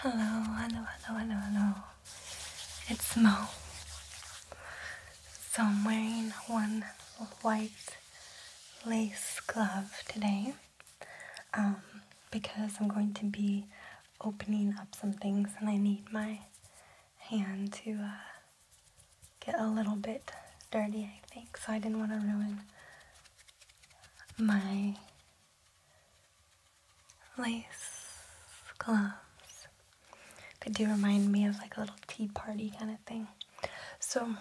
Hello, hello, hello, hello, hello. It's Mo. So I'm wearing one white lace glove today um, because I'm going to be opening up some things and I need my hand to uh, get a little bit dirty, I think. So I didn't want to ruin my lace gloves. They do remind me of like a little tea party kind of thing. So,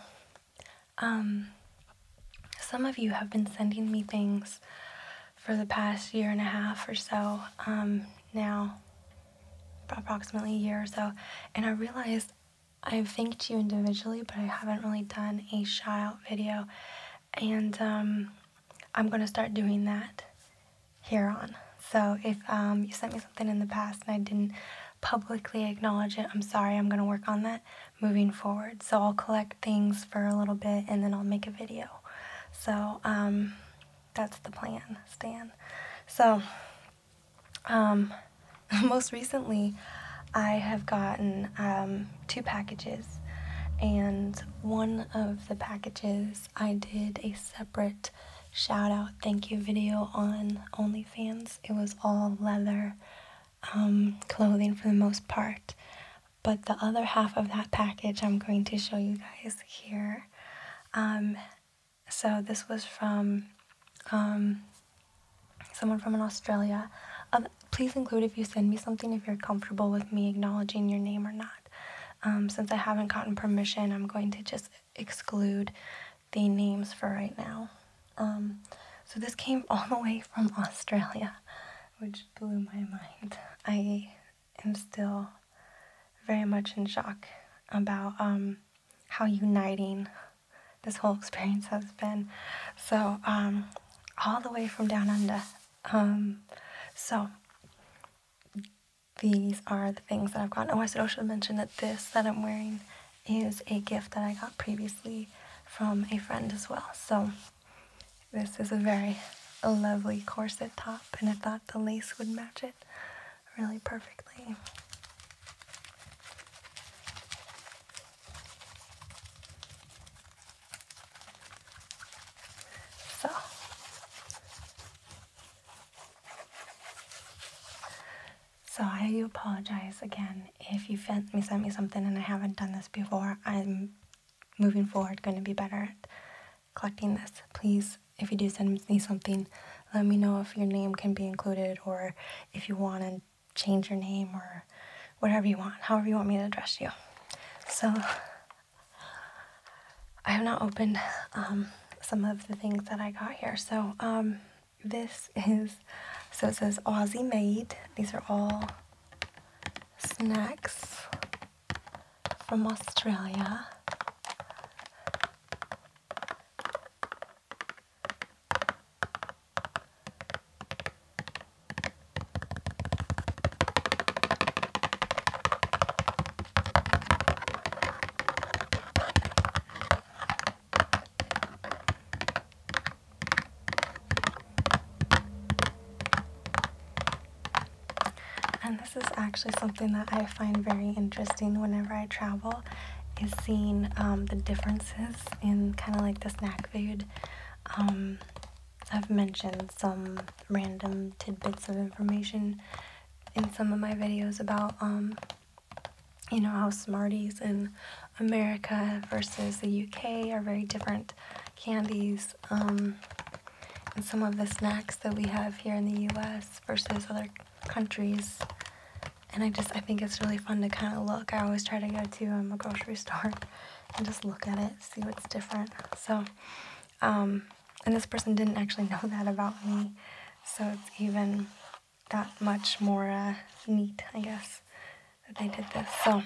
um, some of you have been sending me things for the past year and a half or so um, now, approximately a year or so, and I realized I've thanked you individually, but I haven't really done a shout out video and um, I'm gonna start doing that here on. So if um, you sent me something in the past and I didn't publicly acknowledge it, I'm sorry, I'm gonna work on that moving forward. So I'll collect things for a little bit and then I'll make a video. So um, that's the plan, Stan. So most recently, I have gotten two packages, and one of the packages I did a separate shout out thank you video on OnlyFans. It was all leather um, clothing for the most part. But the other half of that package I'm going to show you guys here. Um, so this was from um, someone from in Australia. Um, please include if you send me something if you're comfortable with me acknowledging your name or not. Um, since I haven't gotten permission, I'm going to just exclude the names for right now. Um, so this came all the way from Australia, which blew my mind. I am still very much in shock about um, how uniting this whole experience has been. So um, all the way from down under. Um, so these are the things that I've gotten. Oh, I said I should mention that this that I'm wearing is a gift that I got previously from a friend as well. So this is a very lovely corset top and I thought the lace would match it really perfectly. So so I apologize again if you sent me sent me something and I haven't done this before. I'm moving forward going to be better at collecting this. Please, if you do send me something, let me know if your name can be included or if you want change your name or whatever you want, however you want me to address you. So I have not opened um, some of the things that I got here. So um, this is, so it says Aussie made. These are all snacks from Australia. And this is actually something that I find very interesting whenever I travel is seeing um, the differences in kind of like the snack food um, I've mentioned some random tidbits of information in some of my videos about, um, you know, how Smarties in America versus the UK are very different candies. Um, and some of the snacks that we have here in the US versus other countries. And I just, I think it's really fun to kind of look. I always try to go to um, a grocery store and just look at it, see what's different. So, um, and this person didn't actually know that about me, so it's even that much more uh, neat, I guess, that they did this. So,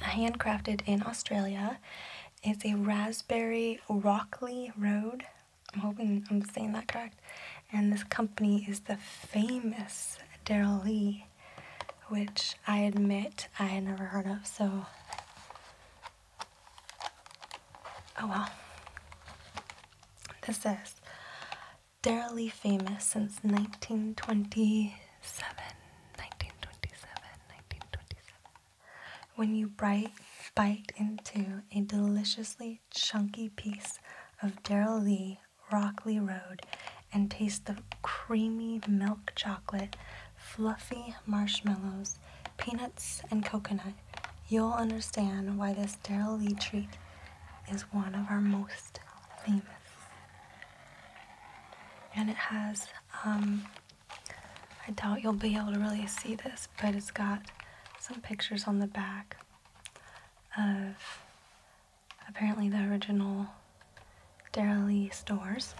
handcrafted in Australia it's a raspberry Rockley Road. I'm hoping I'm saying that correct. And this company is the famous Daryl Lee which I admit I had never heard of, so. Oh well. This is Daryl Lee famous since 1927. When you bite, bite into a deliciously chunky piece of Daryl Lee. Rockley Road and taste the creamy milk chocolate, fluffy marshmallows, peanuts, and coconut, you'll understand why this Daryl Lee treat is one of our most famous. And it has, um, I doubt you'll be able to really see this, but it's got some pictures on the back of apparently the original Dara Lee stores.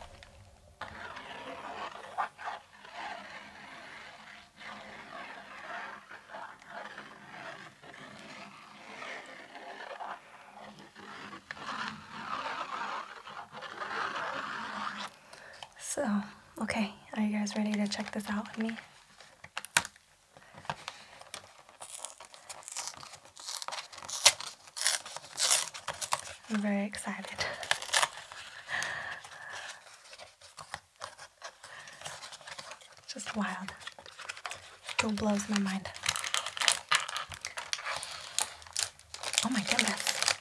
So, okay, are you guys ready to check this out with me? I'm very excited. Just wild. Still blows my mind. Oh my goodness.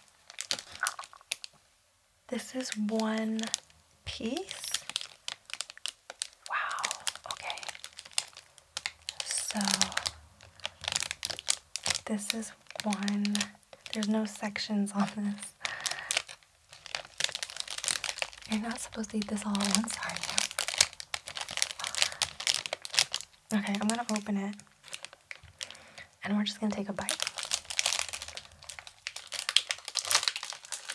This is one piece. Wow, okay. So this is one, there's no sections on this. You're not supposed to eat this all at once, are Okay, I'm gonna open it and we're just gonna take a bite.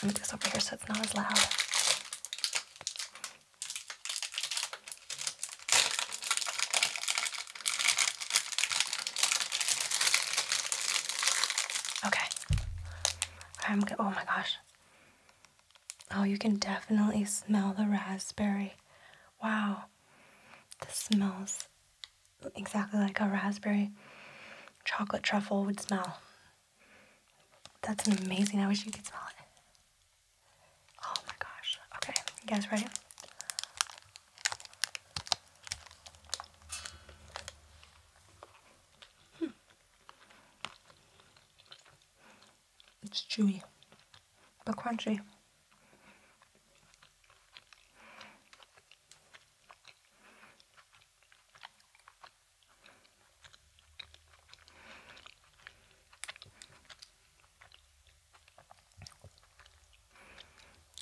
Move this over here so it's not as loud. Okay. I'm Oh my gosh. Oh, you can definitely smell the raspberry. Wow. This smells exactly like a raspberry chocolate truffle would smell. That's amazing. I wish you could smell it. Oh my gosh. Okay, you guys ready? Hmm. It's chewy, but crunchy.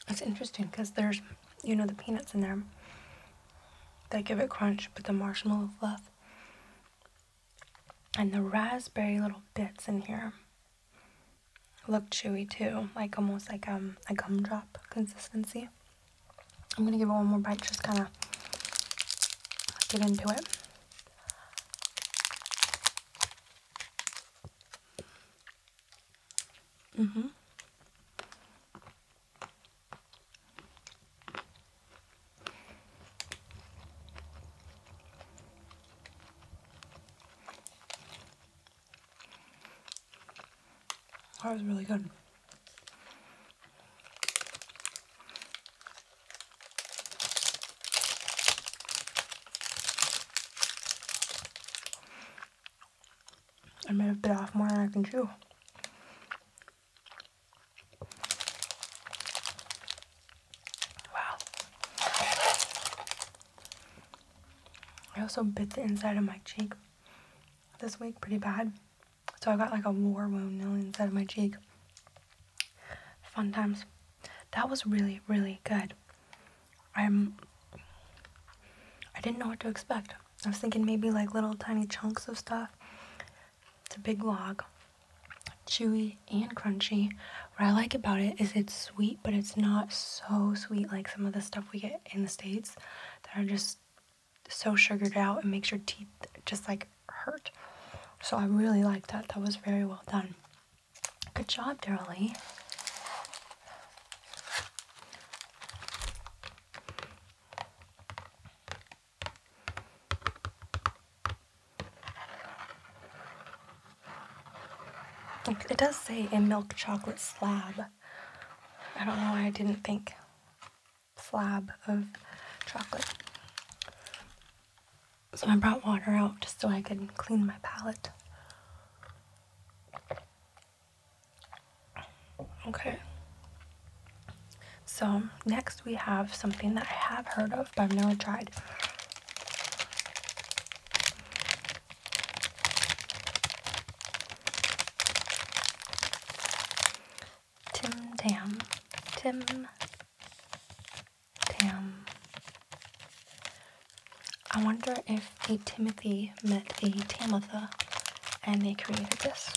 That's interesting because there's, you know, the peanuts in there that give it crunch, but the marshmallow fluff and the raspberry little bits in here look chewy too, like almost like um, a gumdrop consistency. I'm gonna give it one more bite, just kind of get into it. Mm-hmm. That was really good. I may have bit off more than I can chew. Wow. I also bit the inside of my cheek this week pretty bad. So I got like a war wound on the inside of my cheek fun times. That was really, really good. I'm. I didn't know what to expect. I was thinking maybe like little tiny chunks of stuff. It's a big log, chewy and crunchy. What I like about it is it's sweet, but it's not so sweet like some of the stuff we get in the States that are just so sugared out and makes your teeth just like hurt. So I really like that. That was very well done. Good job, Darlie. it does say a milk chocolate slab. I don't know why I didn't think slab of chocolate. So I brought water out just so I could clean my palette. Okay. So next we have something that I have heard of but I've never tried. Tim Tam. Tim Damn. I wonder if a Timothy met a Tamitha and they created this.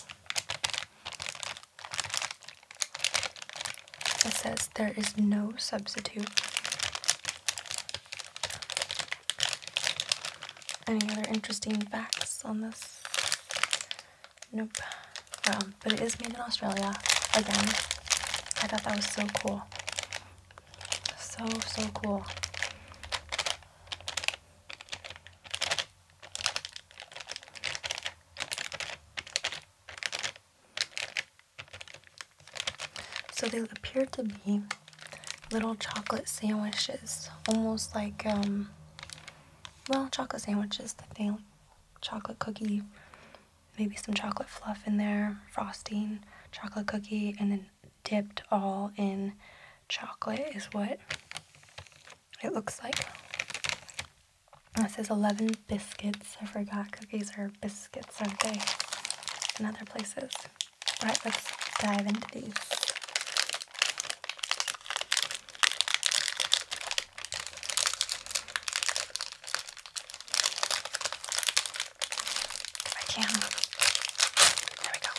It says there is no substitute. Any other interesting facts on this? Nope. Well, um, but it is made in Australia. Again, I thought that was so cool. So, so cool. So they appear to be little chocolate sandwiches, almost like, um, well, chocolate sandwiches that they, chocolate cookie maybe some chocolate fluff in there, frosting, chocolate cookie, and then dipped all in chocolate is what it looks like. This is 11 biscuits. I forgot cookies are biscuits, aren't they? In other places. All right, let's dive into these. I can. There we go.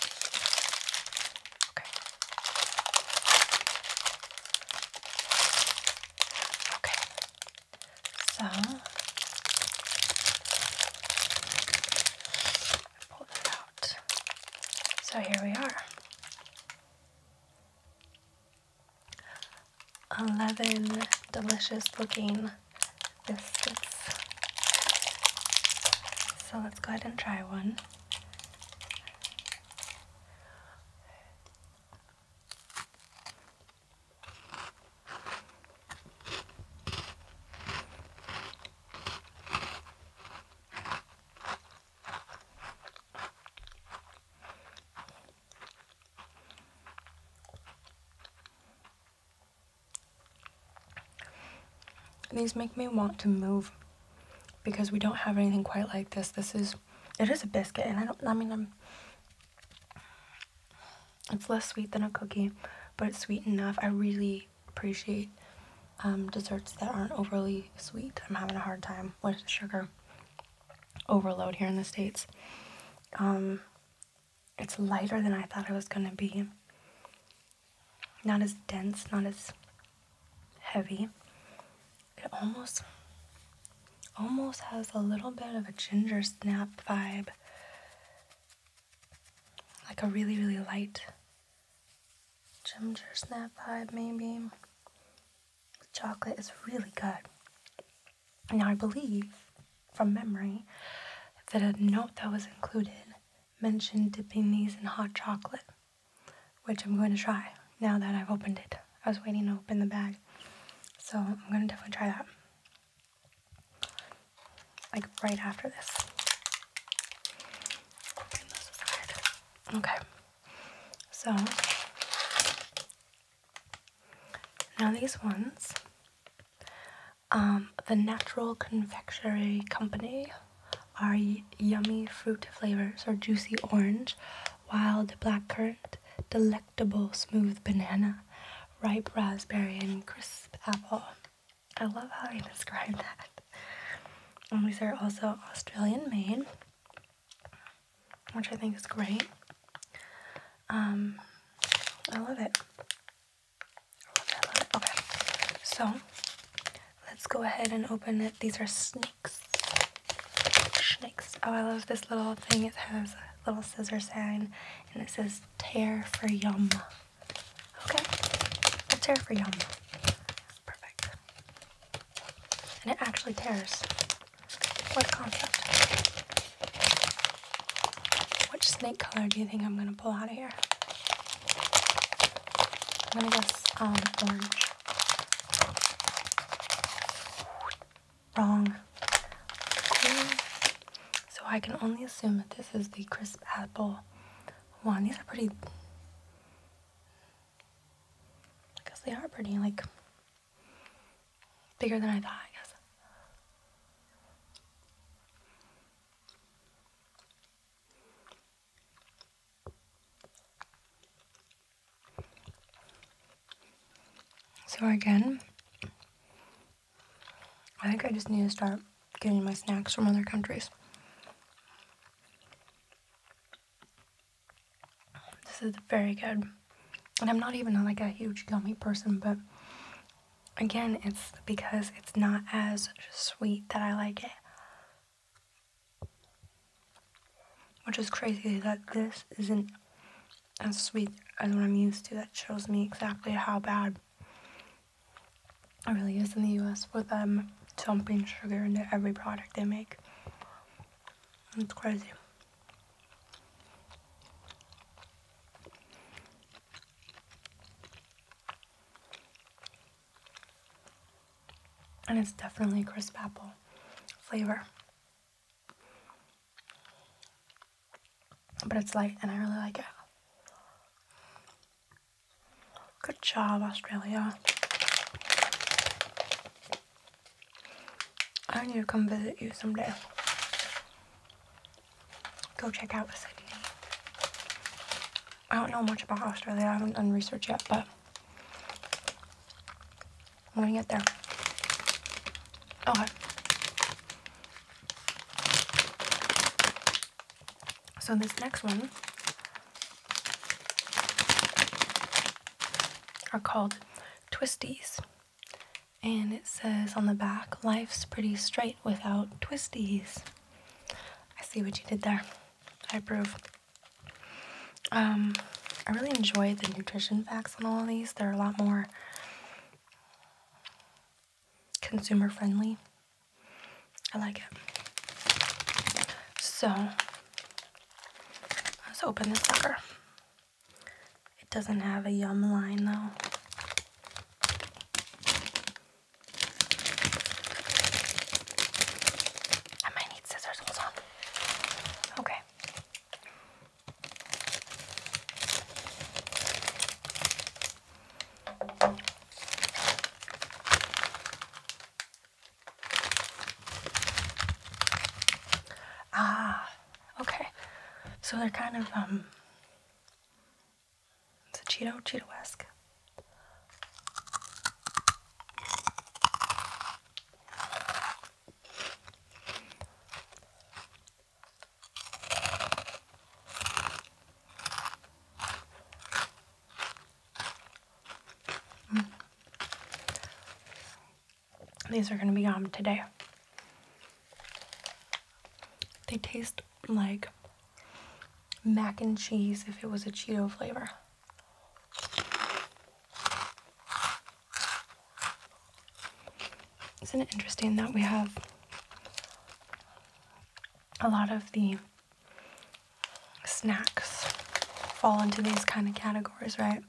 Okay. Okay. So pull that out. So here we are. 11 delicious looking biscuits. So let's go ahead and try one these make me want to move because we don't have anything quite like this. This is, it is a biscuit and I don't, I mean, I'm, it's less sweet than a cookie, but it's sweet enough. I really appreciate um, desserts that aren't overly sweet. I'm having a hard time with the sugar overload here in the States. Um, it's lighter than I thought it was going to be. Not as dense, not as heavy. It almost, almost has a little bit of a ginger snap vibe. Like a really, really light ginger snap vibe, maybe. The chocolate is really good. Now, I believe from memory that a note that was included mentioned dipping these in hot chocolate, which I'm going to try now that I've opened it. I was waiting to open the bag, so I'm going to definitely try that. Like right after this. Okay, so now these ones, um, the Natural Confectionery Company are yummy fruit flavors or juicy orange, wild blackcurrant, delectable smooth banana, ripe raspberry, and crisp apple. I love how they described that. And these are also Australian made which I think is great. Um, I love it. I love it, I love it. Okay, so let's go ahead and open it. These are snakes. Snakes. Oh, I love this little thing. It has a little scissor sign, and it says tear for yum. Okay, tear for yum. Perfect. And it actually tears. What concept. Which snake color do you think I'm going to pull out of here? I'm going to guess um, orange. Wrong. So I can only assume that this is the crisp apple one. These are pretty... I guess they are pretty, like, Bigger than I thought, I guess. So again, I think I just need to start getting my snacks from other countries. This is very good. And I'm not even like a huge gummy person, but again, it's because it's not as sweet that I like it. Which is crazy that this isn't as sweet as what I'm used to. That shows me exactly how bad it really is in the US with them um, dumping sugar into every product they make. It's crazy. And it's definitely crisp apple flavor. But it's light and I really like it. Good job, Australia. I need to come visit you someday. Go check out Sydney. I don't know much about Australia. I haven't done research yet, but I'm gonna get there. Okay. So this next one are called twisties. And it says on the back, life's pretty straight without twisties. I see what you did there. I approve. Um, I really enjoy the nutrition facts on all of these. They're a lot more consumer friendly. I like it. So, let's open this sucker. It doesn't have a yum line though. I might need scissors, hold on. Okay. Ah, okay. So they're kind of, um, it's a Cheeto, Cheeto-esque. These are gonna be on today. They taste like mac and cheese if it was a Cheeto flavor. Isn't it interesting that we have a lot of the snacks fall into these kind of categories, right?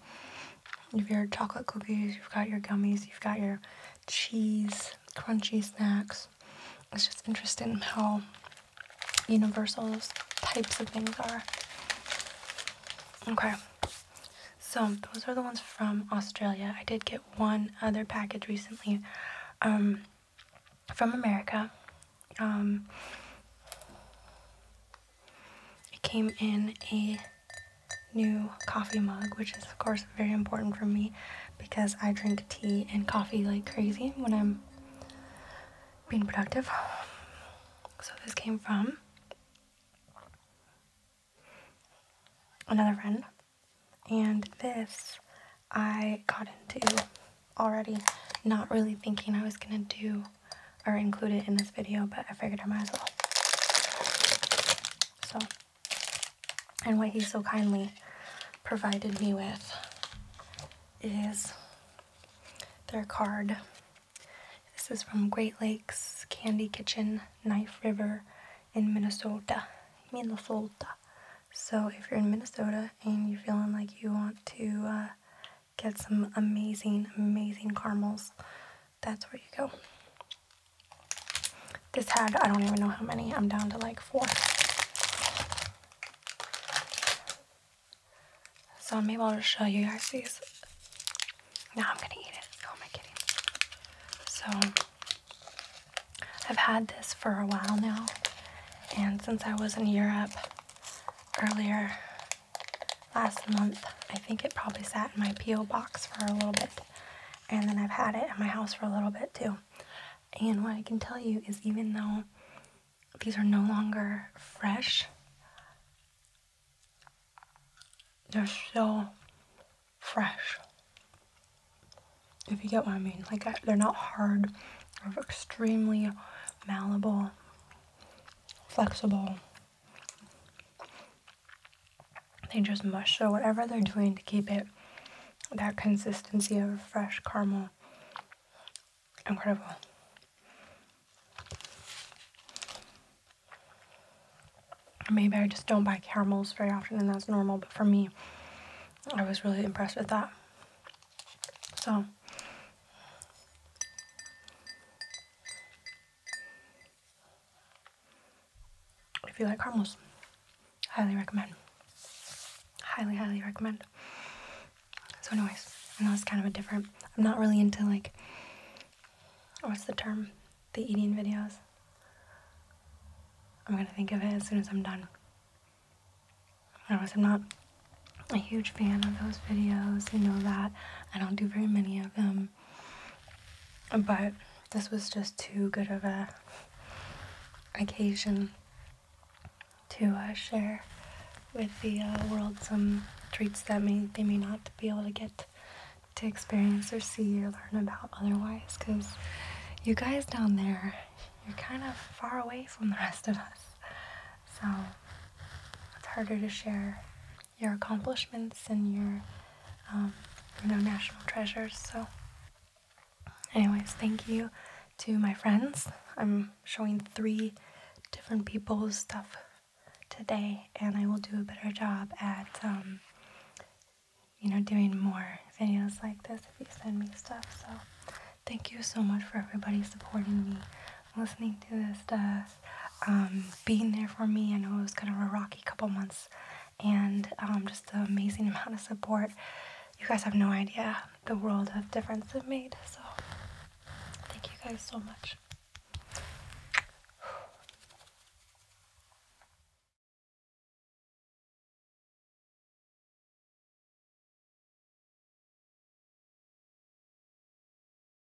You've your chocolate cookies, you've got your gummies, you've got your cheese, crunchy snacks. It's just interesting how universal those types of things are. Okay, so those are the ones from Australia. I did get one other package recently um, from America. Um, it came in a new coffee mug, which is of course very important for me because I drink tea and coffee like crazy when I'm being productive. So this came from another friend. And this I got into already not really thinking I was gonna do or include in this video, but I figured I might as well. So, and what he so kindly provided me with is their card. This is from Great Lakes Candy Kitchen, Knife River in Minnesota. Minnesota. So if you're in Minnesota and you're feeling like you want to uh, get some amazing, amazing caramels, that's where you go. This had, I don't even know how many, I'm down to like four. So I'm able to show you guys these. Now I'm gonna eat it. Oh my kitty. So I've had this for a while now. And since I was in Europe earlier last month. I think it probably sat in my P.O. box for a little bit. And then I've had it in my house for a little bit too. And what I can tell you is even though these are no longer fresh, they're still fresh. If you get what I mean. Like, they're not hard. They're extremely malleable, flexible. They just mush. So, whatever they're doing to keep it that consistency of fresh caramel, incredible. Maybe I just don't buy caramels very often, and that's normal, but for me, I was really impressed with that. So, if you like caramels, highly recommend. Highly, highly recommend. So, anyways, and that was kind of a different. I'm not really into like, what's the term? The eating videos. I'm gonna think of it as soon as I'm done. Otherwise, I'm not a huge fan of those videos. You know that. I don't do very many of them. Um, but this was just too good of a occasion to uh, share with the uh, world some treats that may they may not be able to get to experience or see or learn about otherwise because you guys down there you're kind of far away from the rest of us so it's harder to share your accomplishments and your um, you know national treasures. So, anyways, thank you to my friends. I'm showing three different people's stuff today, and I will do a better job at um, you know doing more videos like this if you send me stuff. So, thank you so much for everybody supporting me listening to this stuff, um, being there for me. I know it was kind of a rocky couple months, and um, just the amazing amount of support. You guys have no idea the world of difference it made. So, thank you guys so much.